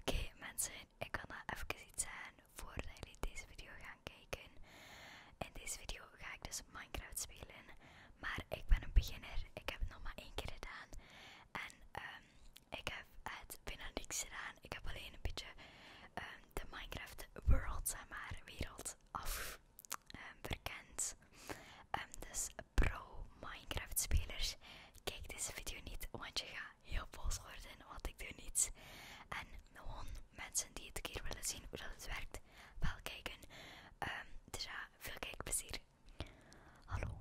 Oké mensen, ik wil nog even iets zeggen voordat jullie deze video gaan kijken. In deze video ga ik dus Minecraft spelen, maar ik ben een beginner. Ik heb het nog maar één keer gedaan en ehm, ik heb het binnen niks gedaan. Ik heb alleen een beetje ehm, de Minecraft world, zeg maar, wereld af ehm, verkend. dus pro Minecraft spelers, kijk deze video niet, want je gaat heel boos wat want ik doe niets. En gewoon mensen die het keer willen zien hoe dat het werkt, wel kijken. Het ehm, dus ja, veel kijkplezier. Hallo,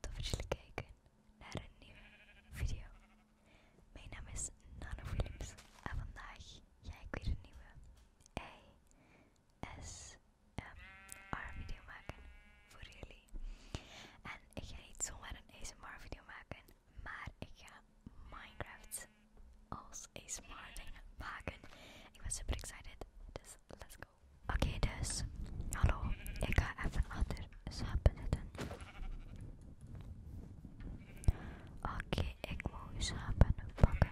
tot dat jullie kijken naar een nieuwe video. Mijn naam is Nanofilips en vandaag ga ik weer een nieuwe ASMR video maken voor jullie. En ik ga niet zomaar een ASMR video maken, maar ik ga Minecraft als ASMR ding maken. Ik ben super excited, dus let's go. Oké, dus, hallo, ik ga even achter sap Oké, ik moet slapen pakken.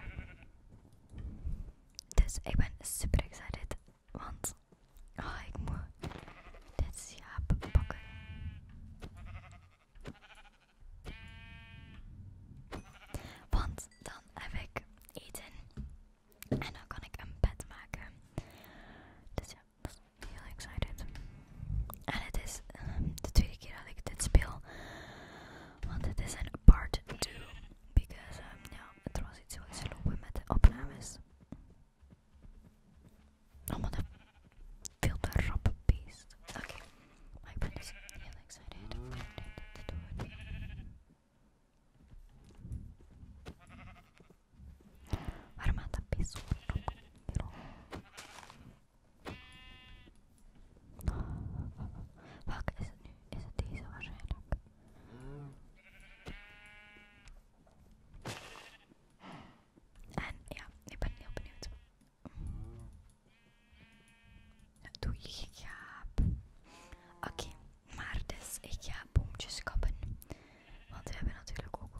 Dus ik ben super excited want, oh, ik moet dit jaap pakken. Want dan heb ik eten en dan kan ik een bed maken. Dus ja, ik is heel excited. En het is ehm, de tweede keer dat ik dit speel. Want het is een part 2. Because, um, ja, er was iets zo lopen met de opnames. I'm veel feel the beast. Oké, my brain is really excited. I need to do it. peso pero is het nu? Is het deze waarschijnlijk? En ja, ik ben heel benieuwd. Doe je gaap. Oké, maar dus ik ga boomtjes kappen. Want we hebben natuurlijk ook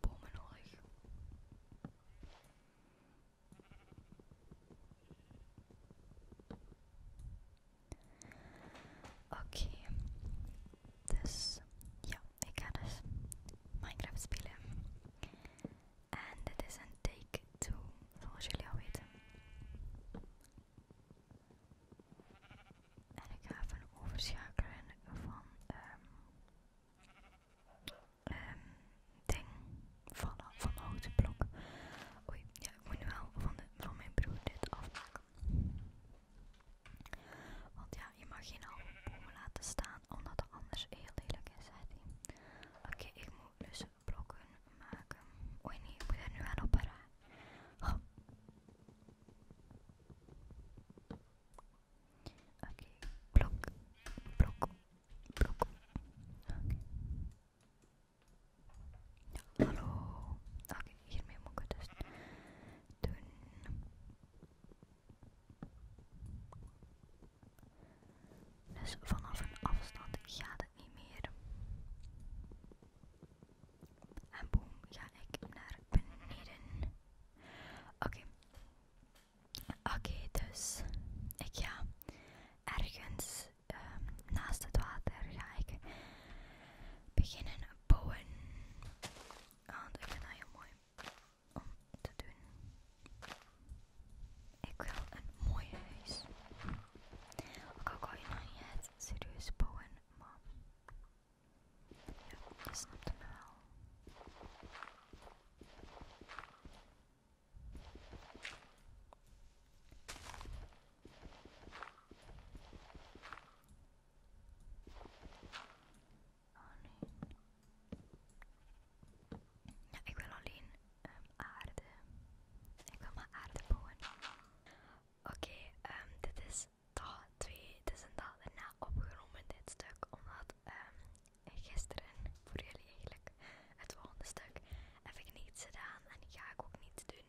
bomen nodig. Oké, dus ja, ik ga dus Minecraft spelen. En dit is een take to zoals jullie al weten. En ik ga even overschakelen van um, ding vallen van de houten blok. Oei, ja, ik moet nu wel van, de, van mijn broer dit afpakken. Want ja, je mag geen halve laten staan, omdat het anders heel lelijk is, zei Oké, ik moet dus blokken maken. Oei nee, ik moet er nu aan op haar. Oké, blok, blok, blok. Hallo. Oké, hiermee moet ik het dus doen. Dus vanaf een afstand gaat het niet meer. En boem, ga ik naar beneden. Oké. Oké, dus ik ga ergens Ehm, naast het water ga ik beginnen bouwen. Want ik vind dat heel mooi om te doen. Ik wil een mooi huis. Ook al kan je nog niet serieus bouwen, maar ja, je snapte wel. Oh, nee. Ja, ik wil alleen ehm, aarde. Ik wil maar aarde bouwen. Oké, ehm, dit is taal 2. Het is een opgenomen, dit stuk. Omdat ehm, gisteren, voor jullie eigenlijk, het volgende stuk, heb ik niets gedaan en ga ik ook niet doen.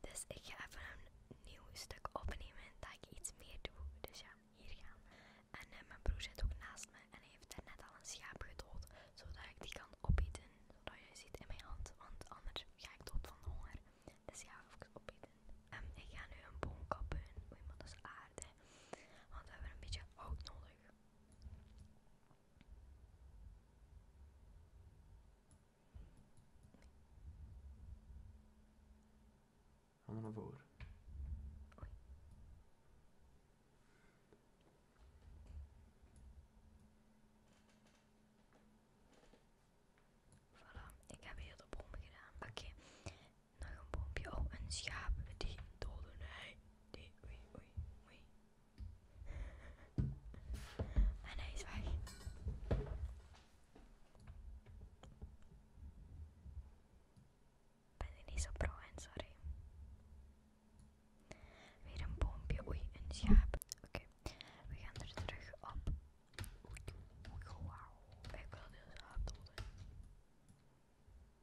Dus ik ga even een nieuw stuk opnemen dat ik iets meer doe. Dus ja, hier gaan. En eh, mijn broer zit ook naast me en heeft er net al een schaap gedood. Zodat ik die kan opeten. Zodat je ziet in mijn hand. Want anders ga ik dood van honger. Dus ja, even opeten. En ehm, ik ga nu een boom kappen. Oei, maar dat is aarde. Want we hebben een beetje hout nodig. Handen naar voor. Oei. Voilà, ik heb hier de bom gedaan. Oké, okay. nog een bompje. Oh, een schaap. Die doden hij. Die, oei, oei, oei. Ah, en hij is weg. Ben niet zo pro en sorry. Weer een boompje, oei, een schaap. Oké, we gaan er terug op. Wauw, ik wil de schaap doden.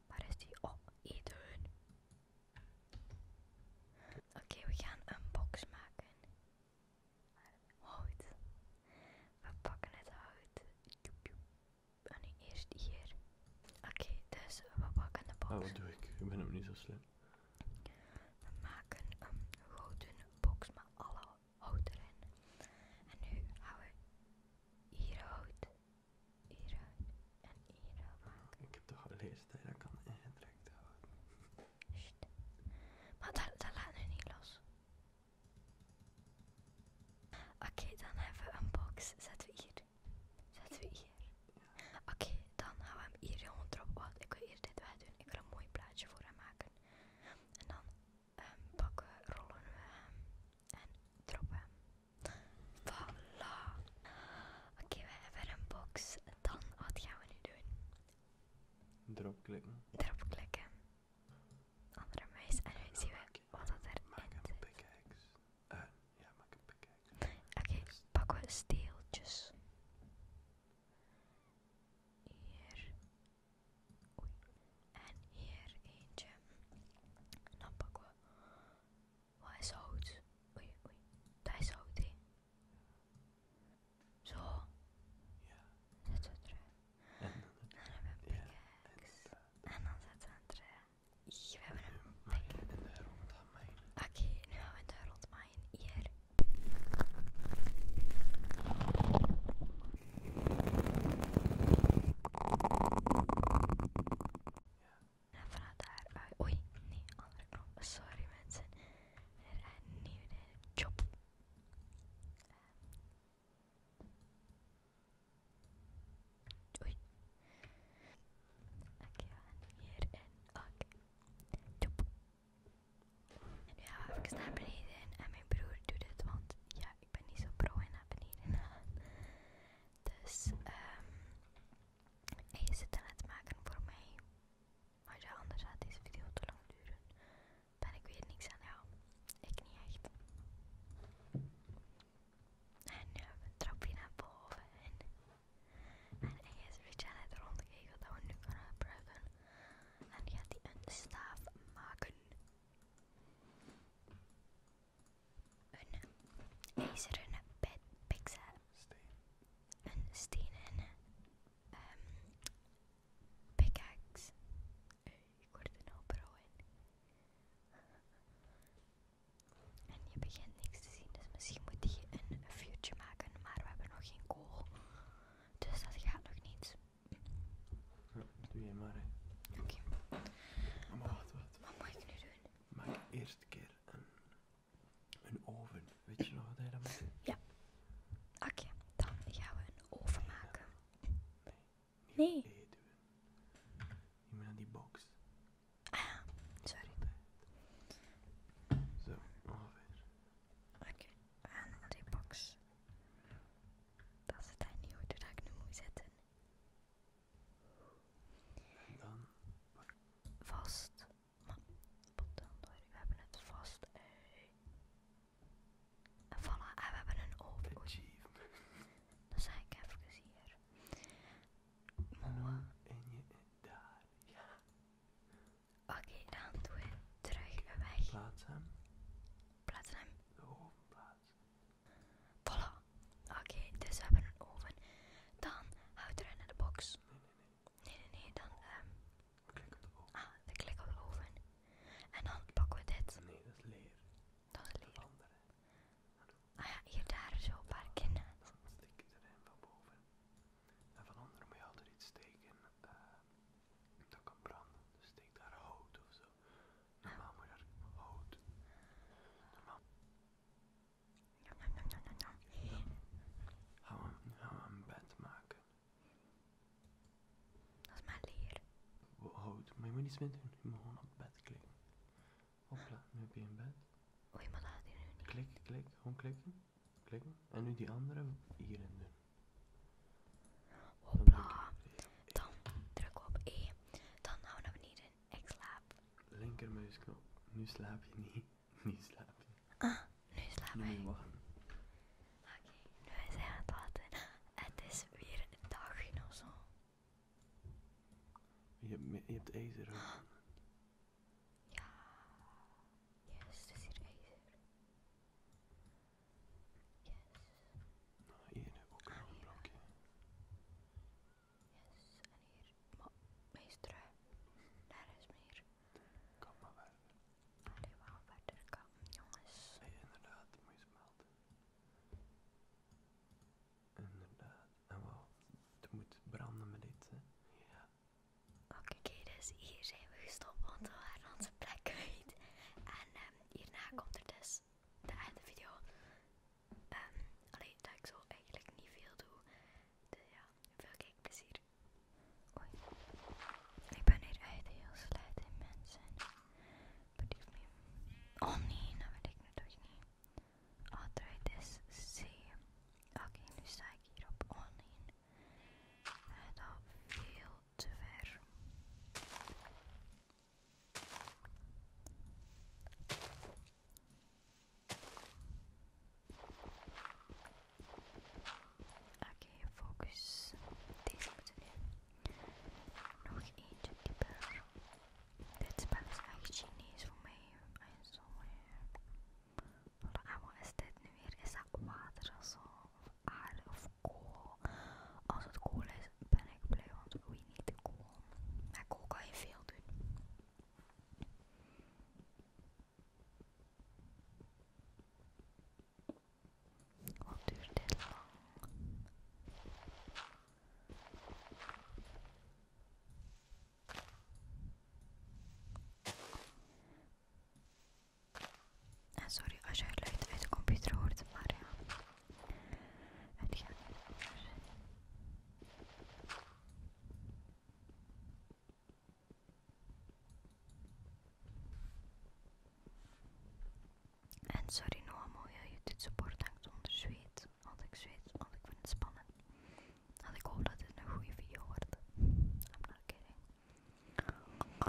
Waar is die? Oh, eten. Oké, we gaan een box maken. Hout. We pakken het hout. En ah, eerst hier. Oké, dus we pakken de box. Ah, wat doe ik? Ik ben hem niet zo slim. We maken een gouden box met alle hout erin. En nu houden we hier hout, hier hout en hier hout Ik heb toch al gelezen dat kan ingedrukt houden. Shit. Maar dat, laten we niet los. Oké, dan hebben we een box. Zetten we hier. Zetten we hier. Oké, dan houden we hem hier gewoon erop. Wat? Ik wil hier dit wel doen. Ik wil een mooi plaatje voor hem maken. En dan ehm, pakken we, rollen we hem en droppen hem. Voila. Oké, we hebben een box. Dan, wat gaan we nu doen? Erop klikken. Erop klikken. Andere muis en nu zien we wat er erin maak een zit. Eh, ja, maak een pickaxe. Oké, pakken we steeltjes. Hier. Oei. En hier eentje. En dan pakken we. Wat is oud? Oei, oei. Dat is oud hé. Zo. Ja. Zet ze eruit. En dan hebben we een pickaxe. Eh, en dan zetten ze het We hebben een pickaxe. En Oké, nu hebben we een rond Hier. En vanuit daar. Oei, nee, andere knop. Sorry mensen that een nieuwe a job. oei. Oké, okay, hier en oké. Chop. En nu gaan we even naar beneden en mijn broer doet het, want ja, ik ben niet zo pro in naar beneden Dus, ehm, hij is het aan het maken voor mij. Maar ja, anders gaat deze video te lang duren. Ben ik weet niks aan jou. Ik niet echt. En nu hebben we een naar boven. En, en hij is een beetje aan het rondkijken dat we nu kunnen gebruiken. En gaat hij een staaf maken. Een ijzeren pet pixel een stenen um, pickaxe. Uh, je wordt er nou bro in. En je begint niks te zien, dus misschien moet je een future maken, maar we hebben nog geen kool. Dus dat gaat nog niet. doe je maar. Oké. Maar wat, wat? Wat moet ik nu doen? Maak eerst keer een een oven. Weet je nog wat hij dan Ja. Oké, dan gaan we een oven maken. Nee. Niet nee. aan die box. Ah, sorry. Zo, oven. Oké, okay, aan die box. Dat is het niet hoe dat ik nu mooi zetten. En dan? Vast. Mam, dan We hebben het vast. Eh. En voilà, en we hebben een oven. Dan zeg ik even hier. Mooi. En je daar, ja. Oké, dan doen we terug weg. Plaats hem. Plaats hem. De oven plaats. Voilà. Oké, dus we hebben een oven. Dan houdt erin in de box. Nee, nee, nee. Nee, nee, dan... ehm. klik op de Ah, ik klik op de boven En dan pakken we dit. Nee, dat is leer. Dat is leer. Ah ja, hier daar zo een paar kinnen. Dan steek je erin van boven. En van onder moet je altijd iets steken uh, dat kan branden. Dus steek daar hout of zo. Normaal moet je daar hout. Normaal. Hou hem gaan we een bed maken? Dat is mijn leer. Houd, oh, maar je moet niets meer doen. Je moet gewoon op bed klikken. Hopla, nu heb je een bed. Oei, maar dat doe je niet. Klik, klik, gewoon klikken. Klikken. En nu die andere hierin doen. Hopla. Dan druk op E. Dan we niet beneden. Ik slaap. Linkermuisknop. Nu slaap je niet slaap slapen. Ah, nu slaap je. Oké, nu nu hij aan het laten. Het is weer een dag ons zo. Je hebt, je hebt ook. Ah. Ja. Yes, het is hier ijzer. Yes. Nou, hier ook een blokje. Yes, en hier meestre, daar is meer. Kom maar verder. Alleen we verder jongens. Nee, inderdaad, moet je smelten. Inderdaad, en wel, het moet branden met dit. Ja. Oké, okay, dus hier zijn we gestopt, want we onze plek kwijt. En ehm, hierna komt er dus de einde video. Ehm, Alleen dat ik zo eigenlijk niet veel doe. Dus ja, veel kijkplezier. Oei. Ik ben hier echt heel slecht in mensen. Believe me. Oh nee, dat nou weet ik natuurlijk niet. Altijd is C. Oké, nu sta ik hier op oh nee. Het al veel te ver. Oké, focus. Deze moeten we nog eentje dieper. Dit spel is echt Chinees voor mij. zo. Maar Wat is dit nu weer? Is dat water of zo? Of of kool? Als het kool is, ben ik blij, want je niet de kool. Met kool kan je veel doen. Hoe duurt dit lang? Ah, sorry als je het luid de computer hoort, maar ja, het gaat en sorry Noah, mooie je support hangt onder zweet. Want ik zweet, want ik vind het spannend. En ik hoop dat dit een goede video wordt. I'm not kidding. Jezus,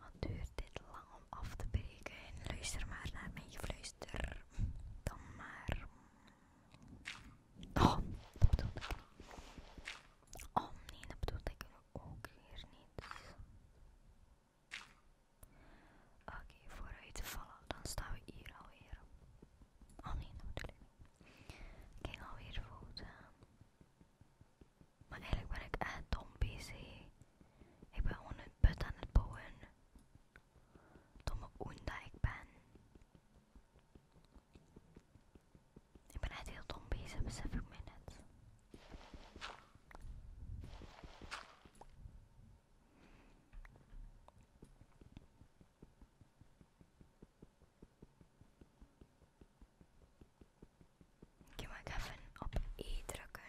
wat duurt dit lang om af te breken? En luister maar naar mijn gefluister. Dan maar. Oh, niet. Oh nee, dat bedoel ik ook hier niet. Oké, vooruit vallen. Dan staan we hier alweer. Oh nee, natuurlijk ik niet. Ik ging alweer fout Maar eigenlijk ben ik echt dom bezig. Ik ben gewoon een put aan het bouwen. Tom hoe dat ik ben. Ik ben echt heel dom bezig, besef ik mij net. Oké, maar even op E drukken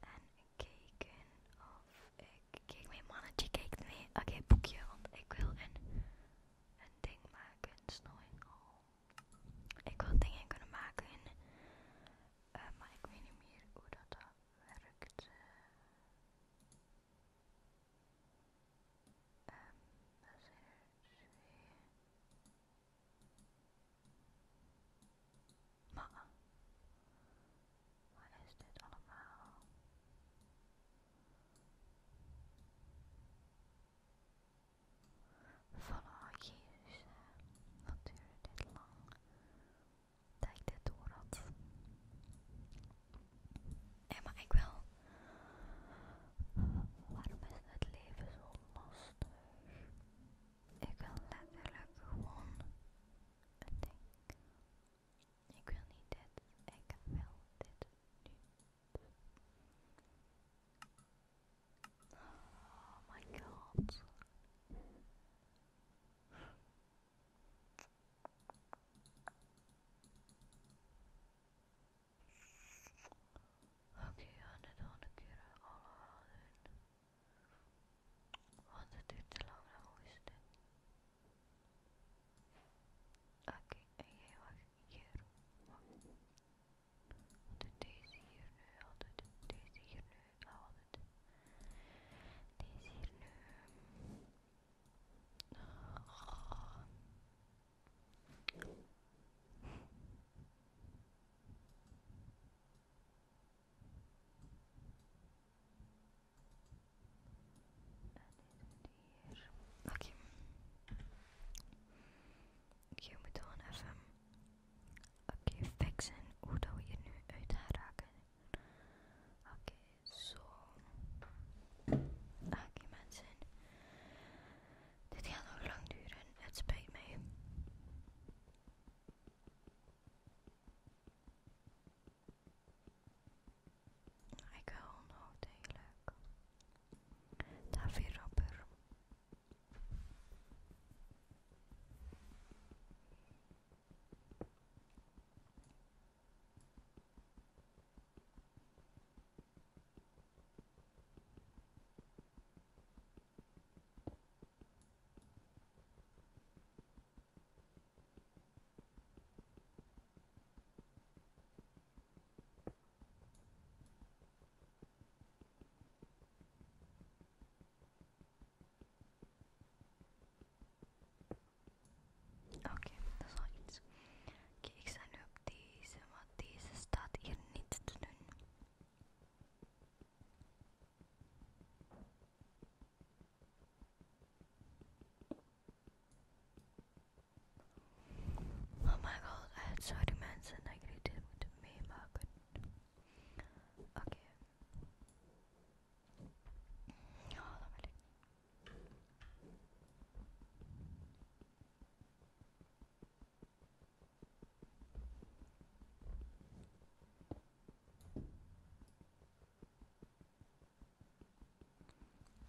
en kijken of ik kijk, mijn mannetje kijkt mee. Oké, boekje, want ik wil een, een ding maken, een snoei. Oh. Ik wil dingen kunnen maken, eh, maar ik weet niet meer hoe dat, eh, werkt. Eh, ehm, dat Maar, wat is dit allemaal? Voilà, oh, jezus, wat duurde dit lang dat ik dit door had. maar ik wel, waarom is het leven zo lastig? Ik wil letterlijk gewoon een ding ik wil niet dit, ik wil dit nu. Oh my god. Oké, okay, we gaan dit keer allemaal doen. Want het duurt te lang, dan is dit. Oké, en jij wacht hier. Wacht. Doet deze hier nu, al het hier nu, al deze hier nu. En hier. Oké. Je moet gewoon even... Oké, fixen hoe dat we hier nu uit gaan raken. Oké, zo. Oké mensen. Dit gaat nog lang duren. Het spijt mij. Ik huil nog degelijk. David Robber. Oké, okay, dat is al iets. Oké, ik sta nu op deze, want deze staat hier niet te doen. Oh my god, I had sorry Manson agreed with me, Margaret. Okay. Hold on a minute.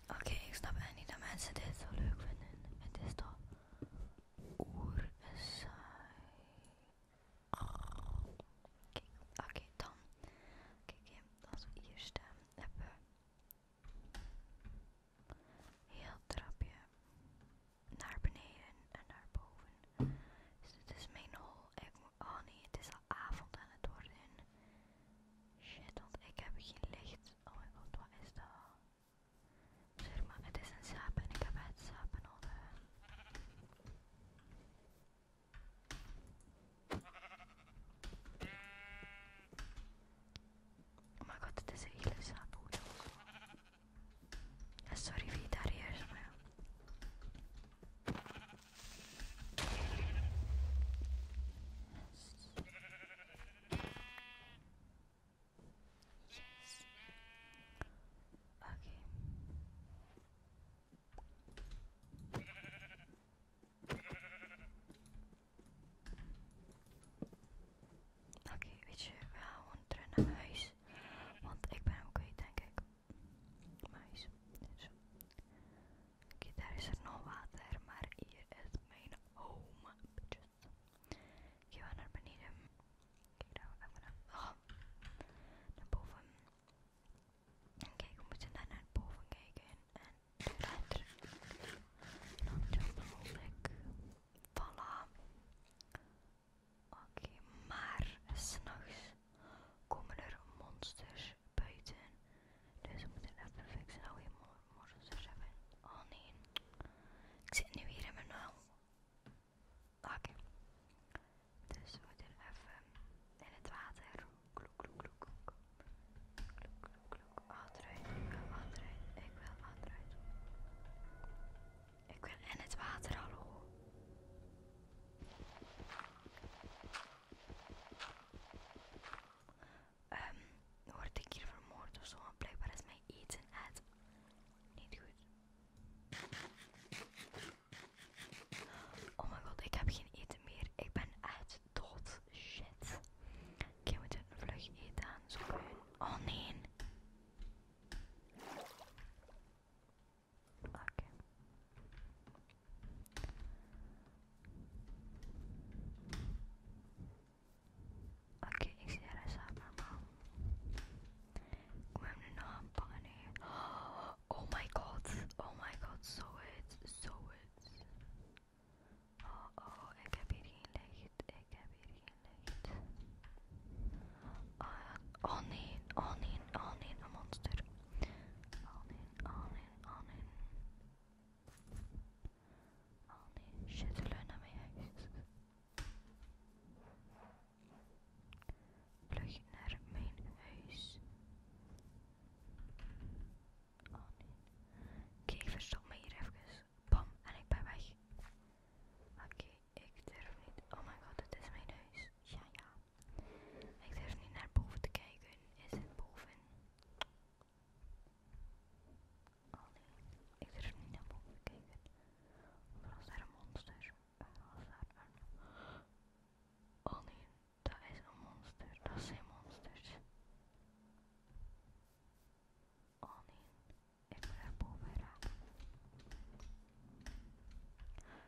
Oké, ik snap echt niet dat mensen dit zo leuk vinden. Het is toch oer saai. Oké, dan. Kijk, okay, als we hier staan, hebben we heel trapje naar beneden en naar boven. Dus dit is mijn hol ik moet, oh nee, het is al avond en het wordt in Shit, want ik heb geen licht. Oh mijn god, wat is dat? Zeg maar, het is een zaap en ik heb het zaap nodig. Oh mijn god, het is een hele zaaphoed. Sorry wie daar hier is, maar ja. Oké, Oké, weet je, we gaan terug naar huis. Want ik ben ook okay, denk ik maar Dus. Kijk, daar is er nog water, maar hier is mijn home. Bitches. Ik ga naar beneden. Kijk daar even naar, naar boven. kijk, we moeten naar naar boven kijken. En verder. Dan mogelijk. Voilà. Oké, maar maar s'nachts komen er monsters buiten. Dus we moeten even fixen nou hier monsters hebben. Oh nee. Ik zit nu hier in mijn nauw. Oké. Dus we moeten even in het water. Kloek, kloek, kloek. Kloek, kloek, kloek. Achteruit. Ik wil achteruit. Ik wil achteruit. Ik wil in het water, hallo. Um, word ik hier vermoord of zo? Want blijkbaar is mijn eten uit. Niet goed. Oh mijn god, ik heb geen eten meer. Ik ben uit dood. Shit. Oké, we moeten een vlug eten aan. Zo Oh nee. Okay. Oké, ik zie er eens aan, We Ik nog aanpakken Oh my god, oh my god, so het, so het. Oh oh, ik heb hier geen licht, ik heb hier geen licht. Oh, oh nee, oh nee, oh nee, een monster. Alleen, in, alleen, in, al in. Al in, shit, leun naar mijn huis. Vlug naar mijn huis. Al Oké, verstop me hier even. Bam, en ik ben weg. Oké, ik durf niet. Oh mijn god, het is mijn huis. Ja, ja. Ik durf niet naar boven te kijken. Is het boven? Oh nee, ik durf niet naar boven te kijken. Of was daar een monster? Oh nee, dat is een monster. Dat zijn monsters. Oh nee, ik wil naar boven raken.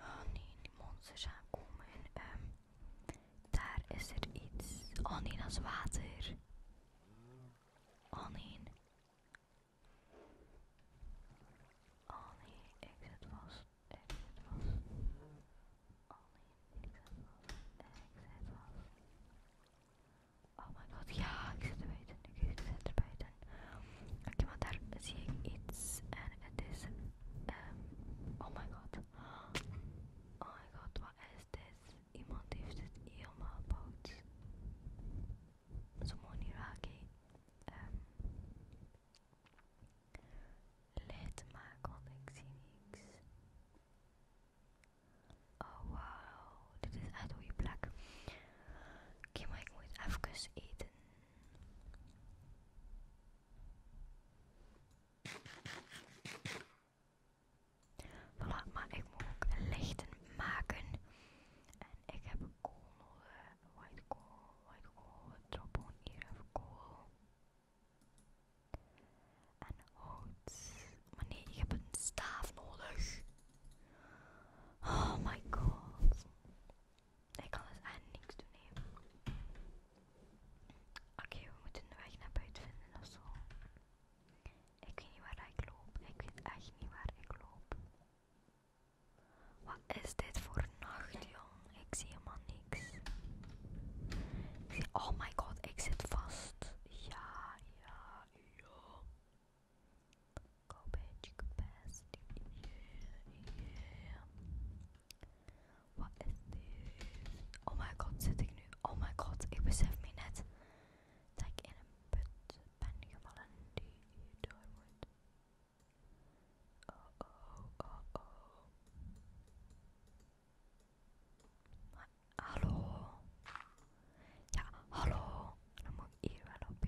Oh nee, die monsters aankomen. Ehm, daar is er iets. Oh nee, dat is water. Oh nee. Oh nee, ik zet vast. Ik zet vast. Oh nee, ik zet vast. Ik zet vast. Oh my god, ja, ik zit erbij. Ik zit erbij. Oké, okay, maar daar zie ik iets en het is. Um, oh my god. Oh my god, wat is dit? Iemand heeft het helemaal boot Zo mooi niet raken. Um, Lid maken, want ik zie niks. Oh wow, dit is uit een goede plek. Oké, maar ik moet even eten. Voilà, maar ik moet ook lichten maken. En ik heb kool nodig. Eh, white kool, white kool. Drop of hier kool. En hout. Maar nee, ik heb een staaf nodig. Oh my god ik kan dus aan niks doen, hè. Oké, we moeten de weg naar buiten vinden ofzo. Ik weet niet waar ik loop. Ik weet echt niet waar ik loop. Wat is dit voor nacht, jong? Ik zie helemaal niks. oh my god, ik zit vast. Ja, ja, ja. Garbage capacity. Wat is dit? Oh my god, zit ik nu? Oh my god, ik besef me net dat ik in een put ben gevallen die door wordt. Oh oh oh oh. hallo? Ja, hallo. Dan moet ik hier wel op.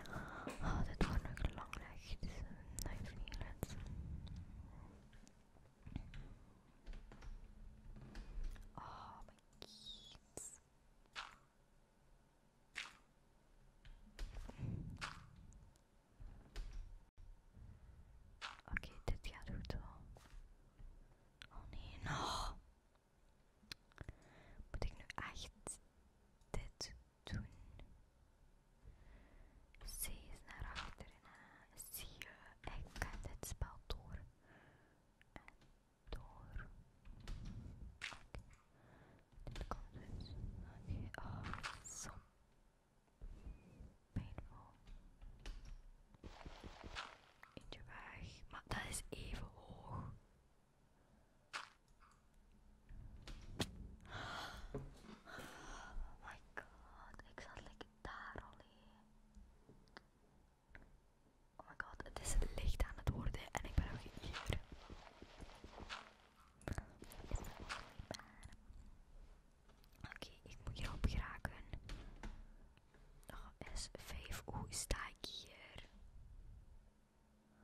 Oh, ah, het wordt nog lang nacht, dus dat niet Oh, mijn kids. Oké, dit gaat goed wel. Oh nee, nog. Oh. Moet ik nu echt dit doen? je is naar achteren. Zie je, ik kan dit spel door. En door. Dit komt dus. Oké, Ah. oh, zo. Painful. Eentje weg. Maar dat is even hoog. Oh my god, ik zat lekker daar al in. Oh my god, het is licht aan het worden en ik ben al hier. Oké, ik moet hierop geraken. Nog S5, hoe sta ik hier? We just make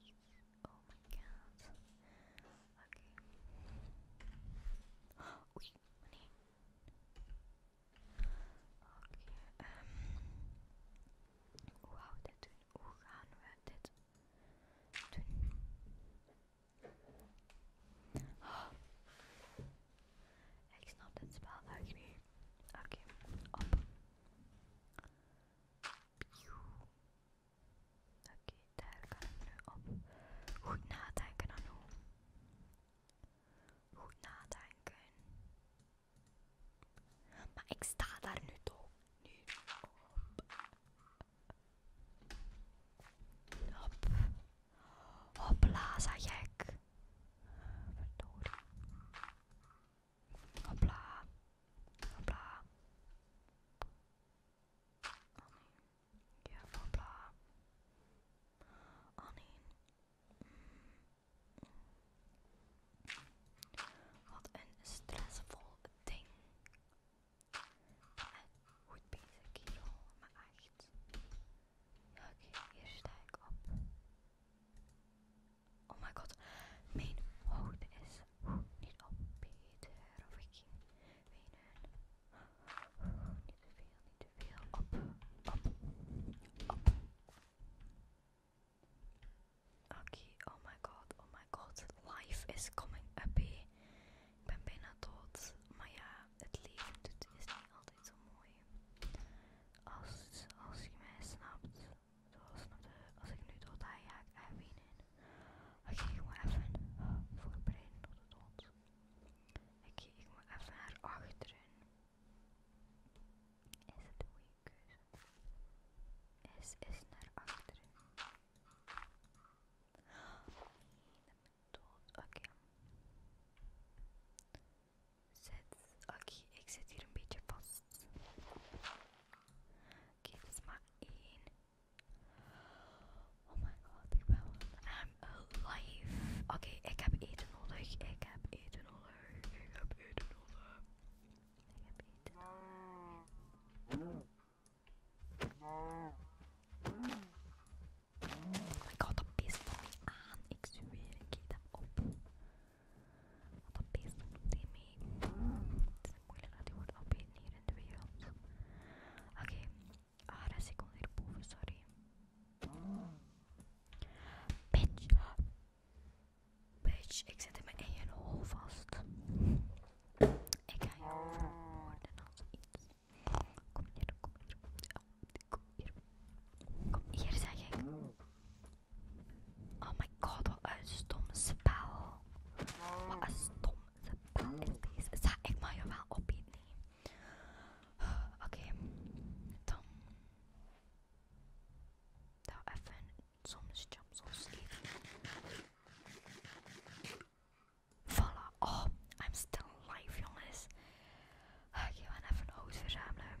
these. Oh my god. Okay. Oei, Oké, okay, um, ehm, hoe gaan we dit Hoe gaan we dit doen? Ik snap dit spel eigenlijk niet. Oké, op. Oké, daar kan ik op goed nadenken aan hoe. Goed nadenken. Maar ik sta daar nu toch. Nu op. Hop. Hopla, zeg ik. Verdorie. Hopla. Hopla. Oh Ja, hopla. Wat een stressvol ding. En goed bezig, kerel. Maar echt. oké. Hier sta ik op. Oh my god, mijn hoofd is niet op Peter of ik ging Niet te veel, niet te veel. Op, op, op. Oké, oh my god, oh my god. Life is coming up. Ik ben bijna dood. Maar ja, het leven doet, is niet altijd zo mooi. Als, als je mij snapt als ik nu dood hij ja, ik heb in. Oké, okay, ik moet even eh, voorbereiden op de dood. Oké, okay, ik moet even naar achteren. Is het een goede keuze? Is, is naar achteren. Oh, nee, dat dood. Oké. Zet. Oké, ik zit hier een beetje vast. Oké, okay, is maar één. Oh my god, ik ben alive. Oké, ik heb eten nodig. Ik heb eten nodig. Ik heb eten nodig. Ik heb eten nodig. Oh my god, dat pist me aan. Ik zweer, ik dat op. Wat een beest doet Het is moeilijk dat hij wordt in de wereld. Oké, okay. ah, ik kon hierboven, sorry. Bitch. Bitch, ik zit in mijn eigen hol vast. Ik ga jou vermoorden als iets. Kom hier, kom hier. Oh, kom hier. Kom hier, zeg ik. Oh my god, wat een stom spel. Wat een stom spel is deze. Zag ik mag je wel opeten. Oké, okay. dan. even soms jumps of sleep. Voilà, oh, I'm still alive, jongens. Oké, okay, even een hout verzamelen.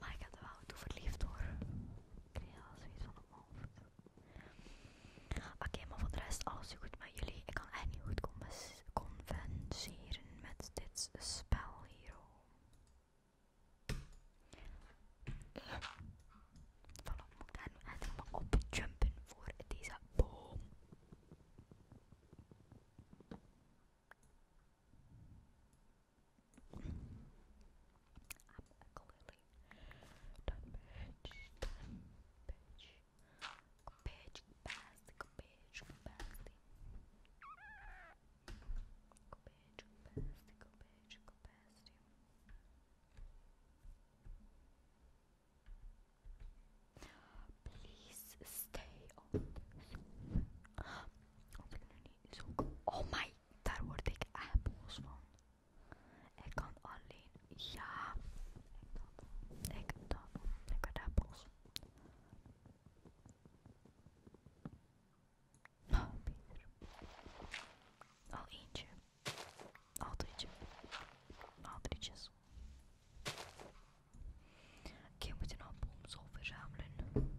Maar ik heb er wel toe verliefd hoor. Ik kreeg al zoiets van op mijn hoofd. Oké, maar voor de rest alles is goed met jullie. Ik kan echt niet goed converseren met dit spel hier. Voilà, moet ik daar nu op jumpen voor deze boom. Oké, I'm clearly done, bitch. bitch. Go bitch, go past, go bitch, go bitch, go bitch, Please stay on Oh my daar word ik appels van. Ik kan alleen, ja, ik dan, ik word daar boos van. Ah, al eentje. Al drietje. Al drietjes. Oké, moet we moeten nog boomsel verzamelen.